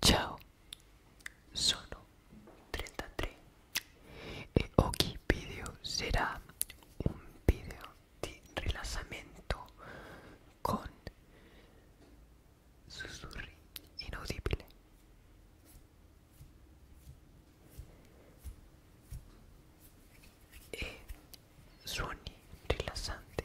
Ciao, sono 33 e ogni video sarà un video di rilassamento con sussurri inaudibles E eh, suoni rilassanti